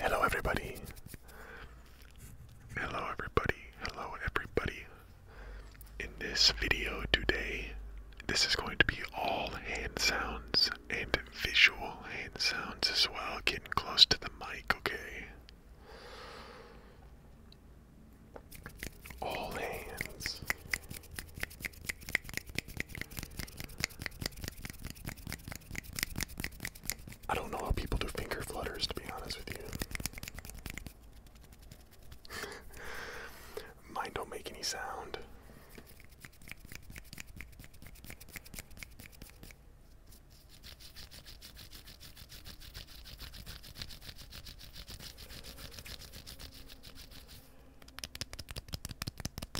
Hello, everybody. Hello, everybody. Hello, everybody. In this video today, this is going to be all hand sounds and visual hand sounds as well, getting close to the mic, okay? All hands. I don't know how people do finger flutters, to be honest with you. Mine don't make any sound.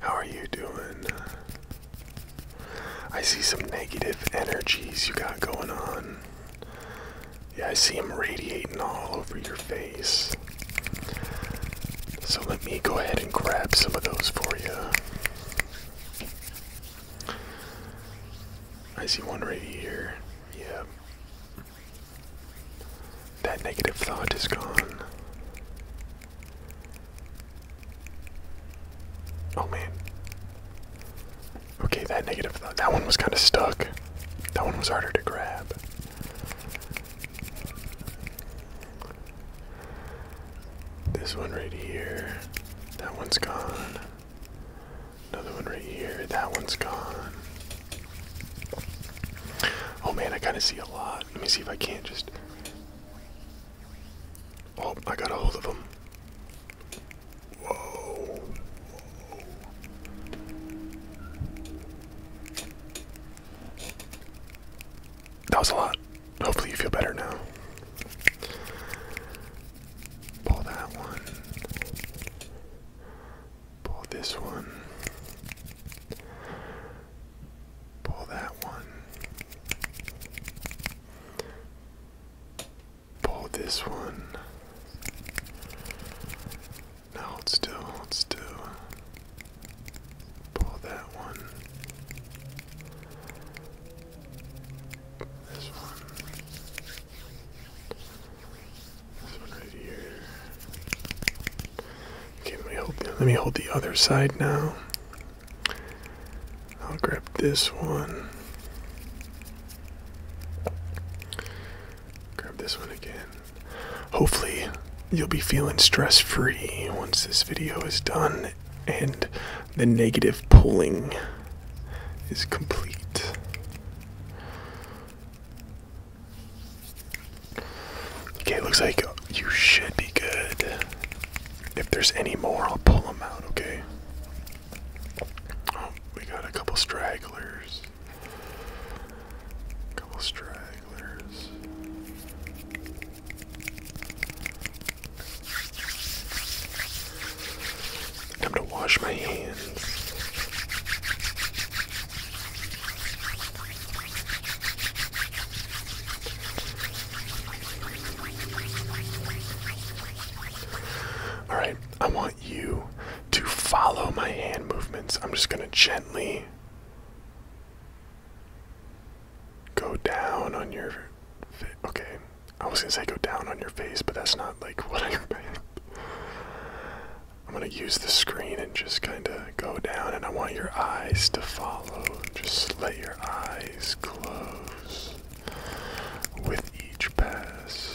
How are you doing? I see some negative energies you got going on. Yeah, I see them radiating all over your face. So let me go ahead and grab some of those for you. I see one right here. Yeah. That negative thought is gone. Oh man. Okay, that negative, that one was kind of stuck. That one was harder to grab. This one right here. That one's gone. Another one right here. That one's gone. Oh man, I kind of see a lot. Let me see if I can't just Oh, I got a hold of him. Whoa. That was a lot. Hopefully you feel better now. Pull that one. Pull this one. Pull that one. Pull this one. Now hold still, hold still. Pull that one. This one. This one right here let me hold the, let me hold the other side now. I'll grab this one. Grab this one again. Hopefully, you'll be feeling stress free once this video is done and the negative pulling is complete. Okay, looks like you should be good. If there's any more, I'll pull them out, okay? Oh, we got a couple stragglers. Couple stragglers. Time to wash my hands. All right, I want you to follow my hand movements. I'm just going to gently go down on your okay. I was going to say go down on your face, but that's not like what I I'm going to use the screen and just kind of go down, and I want your eyes to follow. Just let your eyes close with each pass.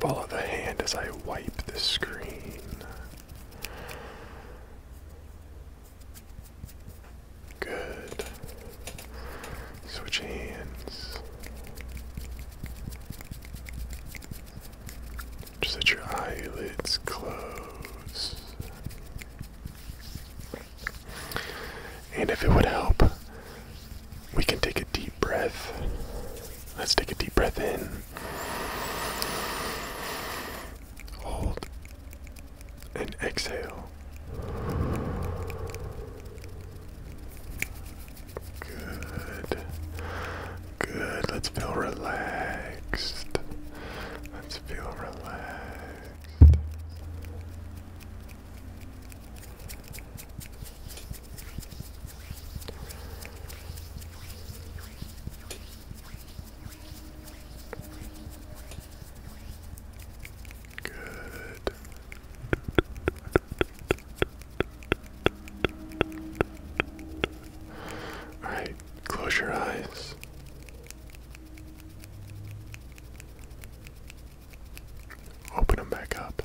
Follow the hand as I wipe the screen. Good. Switch hands. Just let your eyelids close. And if it would help, we can take a deep breath. Let's take a deep breath in. Hold and exhale. Good. Good. Let's feel relaxed. Let's feel relaxed. Good. All right, close your eyes. Open them back up.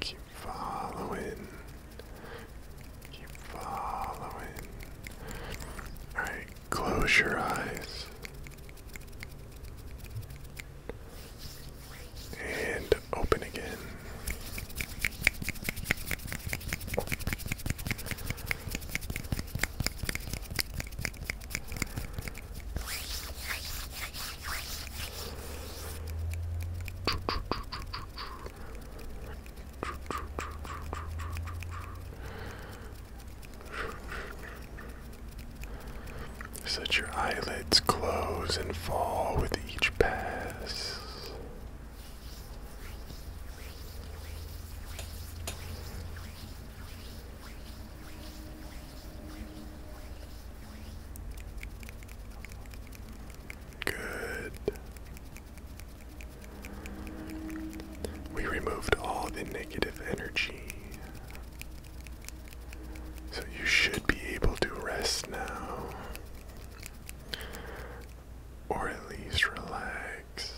Keep following. Keep following. Alright, close your eyes. And open again. Such your eyelids close and fall with each pass. Good. We removed all the negative energy. So you should be able to rest now. Or at least relax.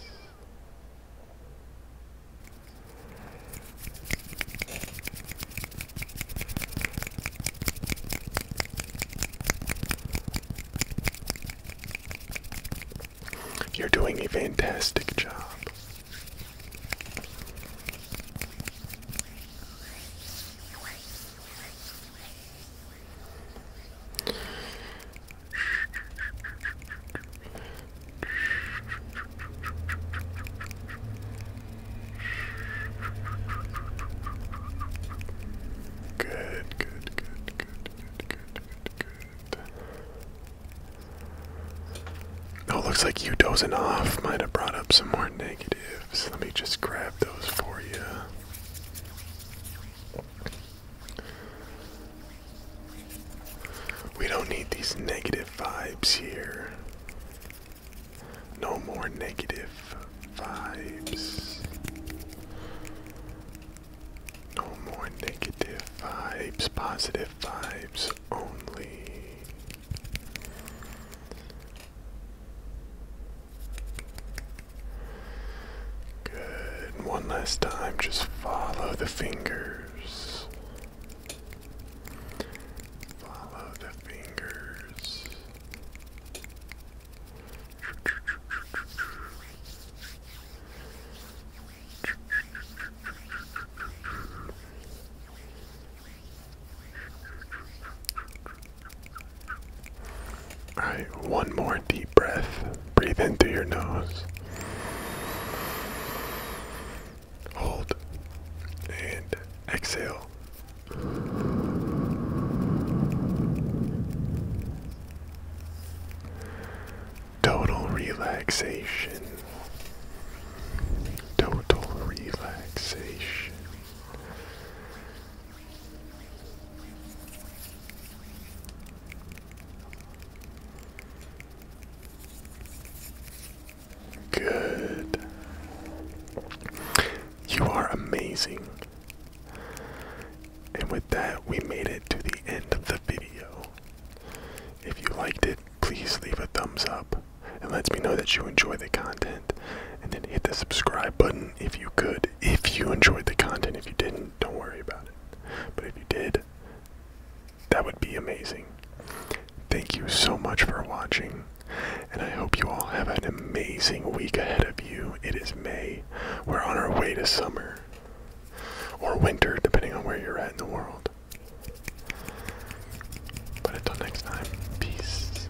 You're doing a fantastic job. Good, good, good, good, good, good, good, good. Oh, looks like you dozing off might have brought up some more negatives. Let me just grab those for you. We don't need these negative vibes here. No more negative vibes. No more negative vibes. Positive vibes only. Good. one last time, just follow the fingers. Follow the fingers. Alright, one more deep breath. Breathe in through your nose. Hold. And exhale. Total relaxation. Total relaxation. Good. You are amazing. And with that, we made it to the end of the video. If you liked it, please leave a thumbs up. It lets me know that you enjoy the content. And then hit the subscribe button if you could. If you enjoyed the content, if you didn't, don't worry about it. But if you did, that would be amazing. Thank you so much for watching, and I hope you all have an amazing week ahead of you. It is May. We're on our way to summer, or winter, depending on where you're at in the world. But until next time, peace.